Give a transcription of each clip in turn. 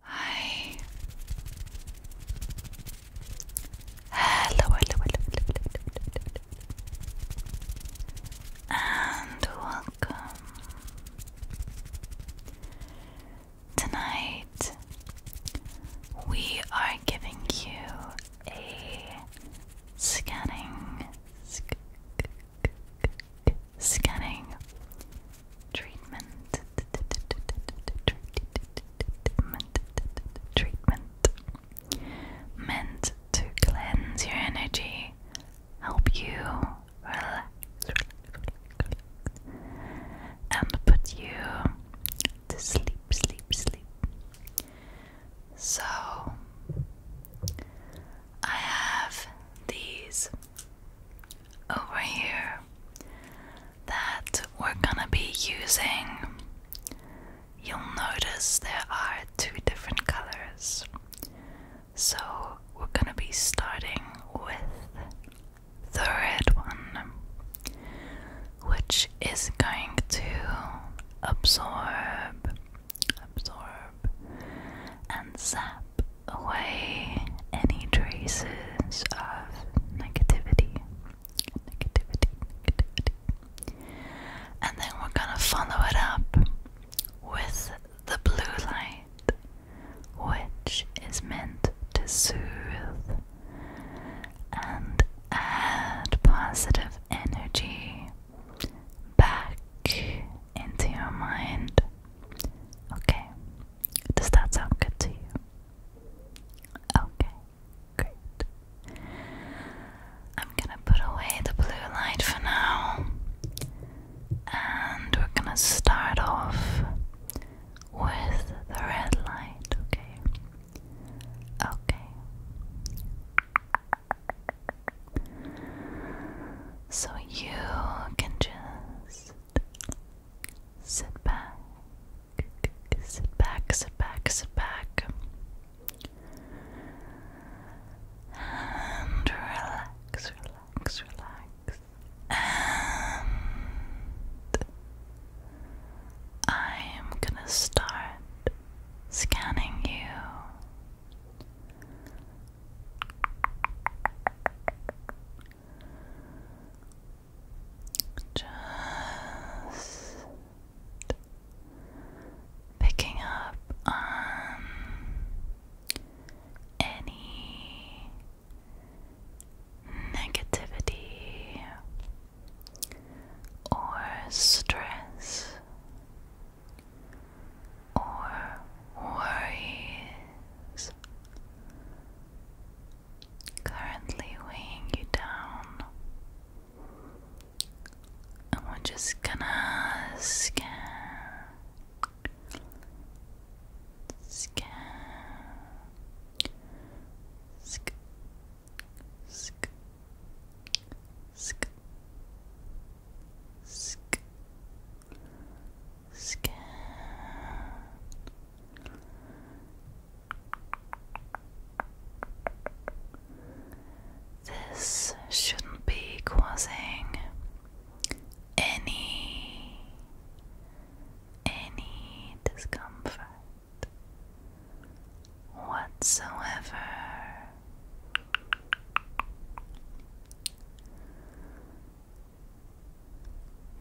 Hi. Hello, hello, hello, hello, hello, hello, and welcome. Tonight we are giving you a scanning scanning treatment treatment treatment meant to cleanse your energy, help you relax, and put you to sleep, sleep, sleep. So I have these over here that we're gonna be using. You'll notice there are two different colors. So we're gonna be starting with the red one, which is going to absorb, absorb, and zap away any traces of negativity. Negativity, negativity. And then we're going to follow it up with the blue light, which is meant to soothe and add positive energy back into your mind. Okay, does that sound good to you? Okay, great. I'm gonna put away the blue light for now, and we're gonna start off with the red light, okay? Okay. So you can just Sit back, sit back, sit back, sit back, and relax, relax, relax. And I'm gonna start scanning you. Just picking up on any negativity or stress or worries currently weighing you down. And we're just gonna scan, scan, scan, scan, scan, scan, skin. This shouldn't be causing any any discomfort whatsoever.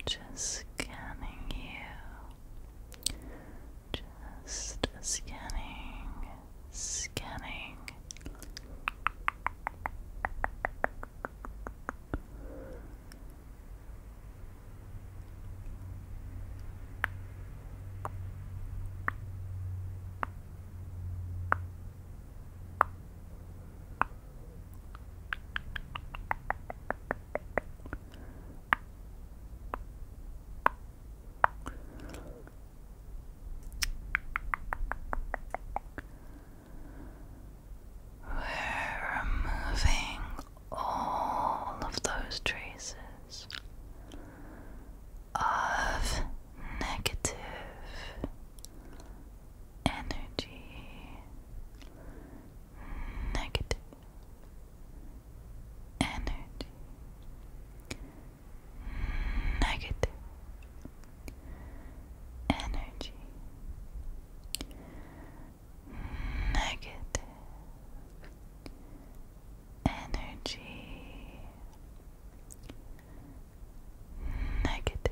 Just scanning you. Just scanning, scanning. We're removing all of those traces of negative energy, negative energy, negative energy, negative energy, negative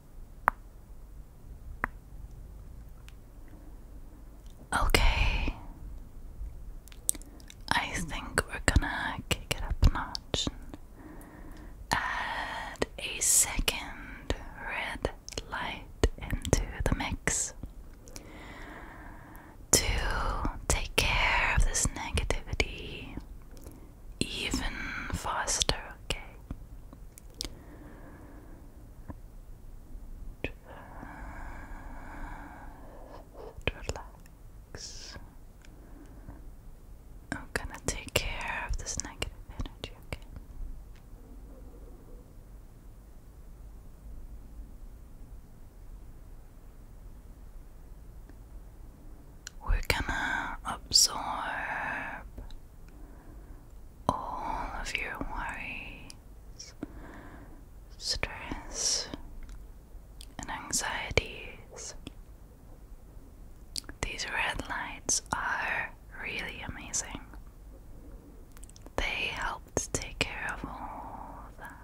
Okay, I think we're gonna kick it up a notch add a second red light into the mix to take care of this negativity even faster, okay? Just relax. I'm gonna take care of this negative energy, We're gonna absorb all of your worries, stress, and anxieties. These red lights are really amazing. They help to take care of all that.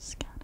Scan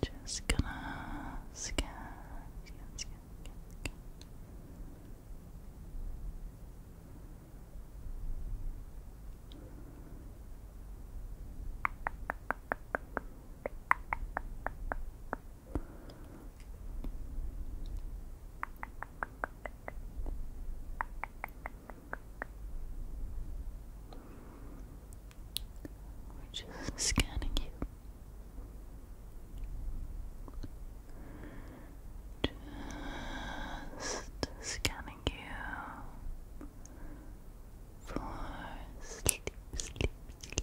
Just gonna scan, scan, we're just scanning you. Just scanning you for sleep, sleep, sleep.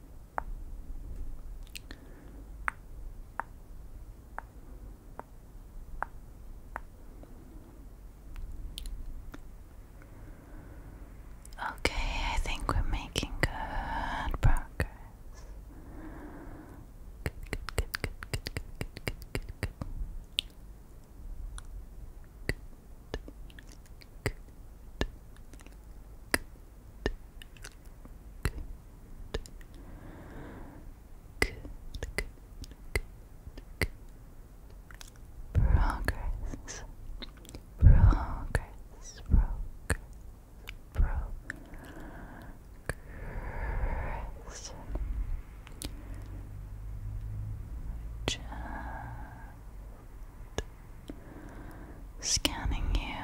Okay, I think we're making good progress. Good, good, good, good, good, good, good, good, good, good. Good, good, good, progress, progress, progress. Just scanning you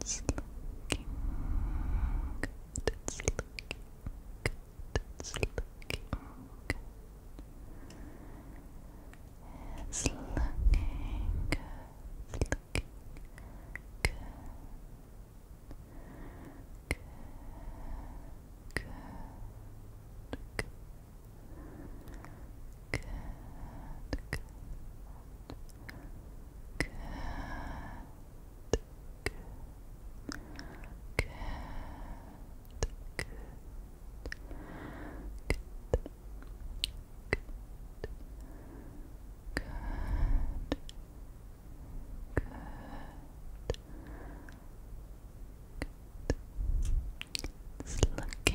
It's looking good. It's looking good. It's looking good. It's looking good. good. Good. Good. Good. Good. Good. Good. Good. Good. Good. Good. Good. Good. Good. looking good. Good. Good. Good.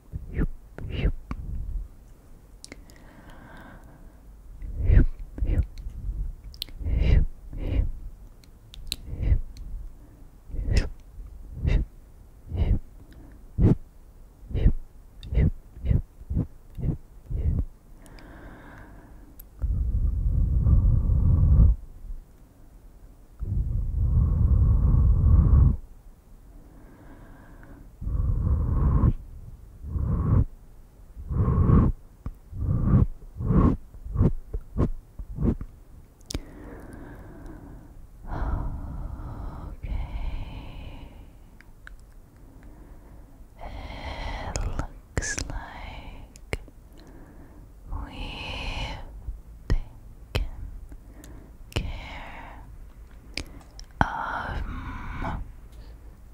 Yup, yup. Yup, yup. Yup, yup. Yup. Yup, yup. Yup. Yup, yup, yup, yup, yup, Okay. It looks like we care of most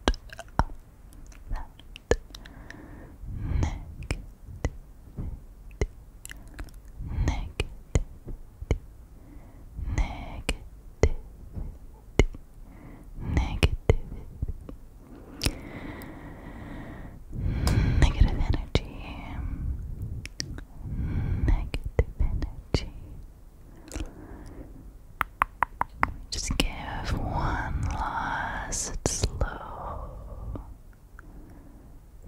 of negative energy negative energy. Just give one last slow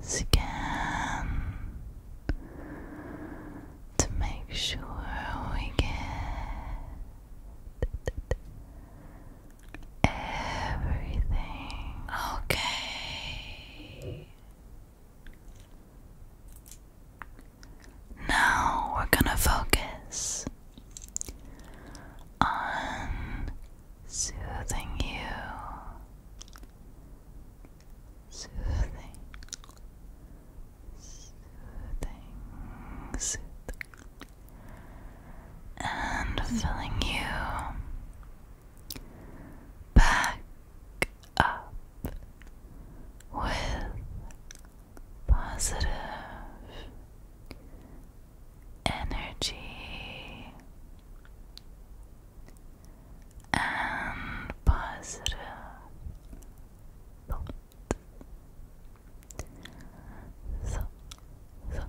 scan to make sure we get everything okay. Now we're gonna focus on soothing you, soothing, soothing, soothing, and filling you back up with positive energy and positive thought. so, so, so,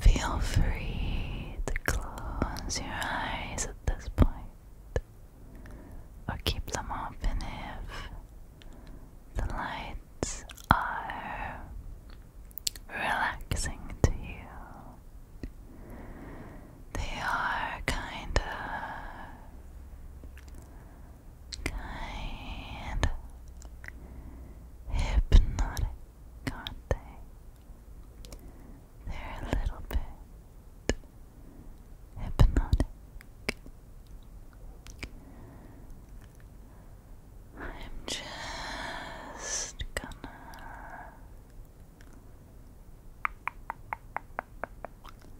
Feel free to close your eyes at this point, or keep them open if the lights are relaxing to you. They are kind kind hypnotic, aren't they? They're a little bit hypnotic. I'm just gonna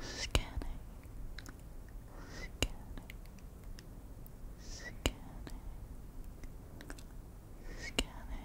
Scanning, scanning, scanning, scanning, scanning,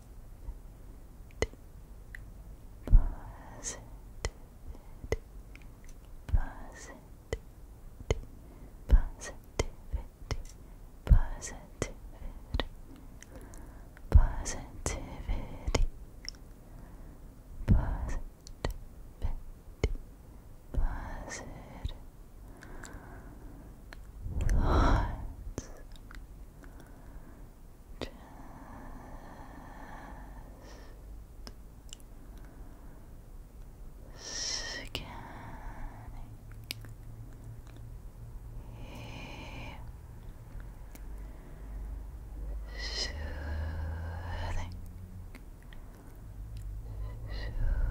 positive thoughts just scanning soothing soothing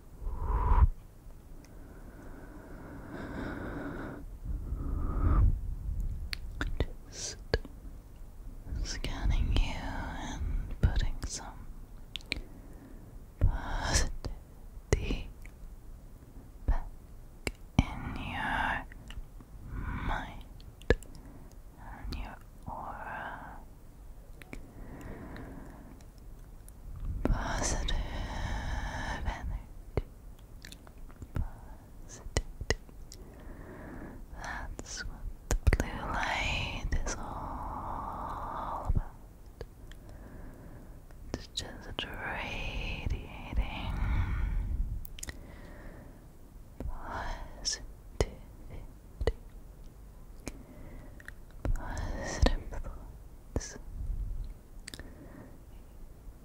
scanning you and putting some positivity back in your mind and your aura Positive energy. That's what the blue light is all about. It's just radiating positivity positive thoughts.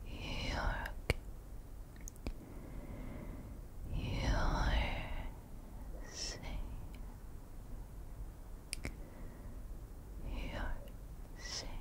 You're okay. You're safe. You're safe.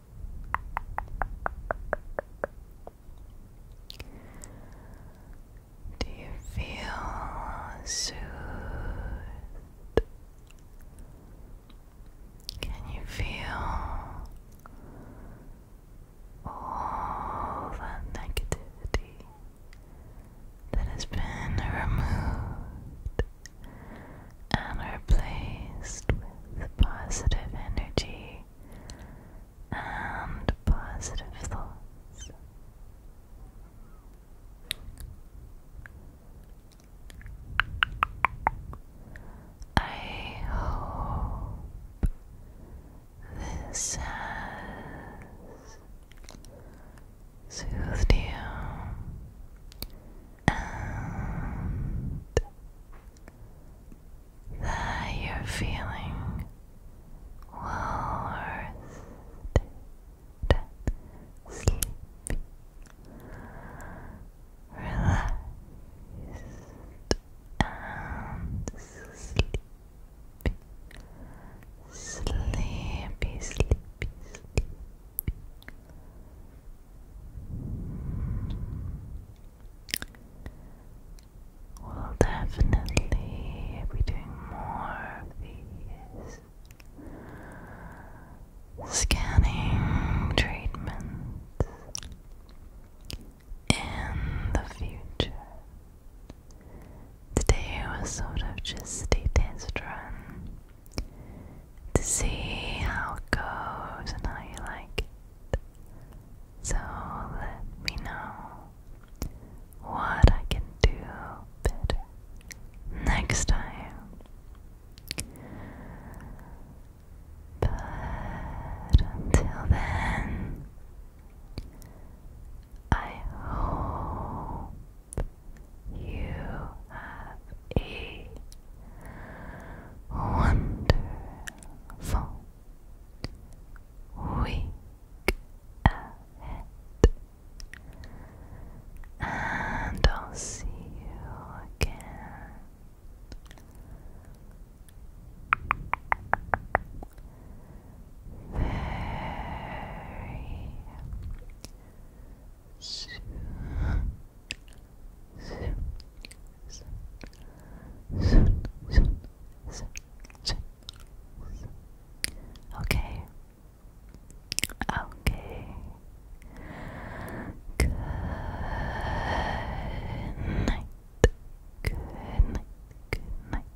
do you feel soothed? Can you feel all that negativity that has been removed and replaced with positive energy? and positive thoughts. I hope this has soothed you and that you're feeling well rested, sleepy, and sleepy. Sleepy, sleepy, sleepy. We'll definitely be doing more of these scanning treatments in the future. Today was sort of just a test run to see how it goes and how you like so let me know what I can do better next time. But until then, I hope you have a wonderful full week And I'll see you again. Very soon. Okay. Okay. Good night. Good night. Good night.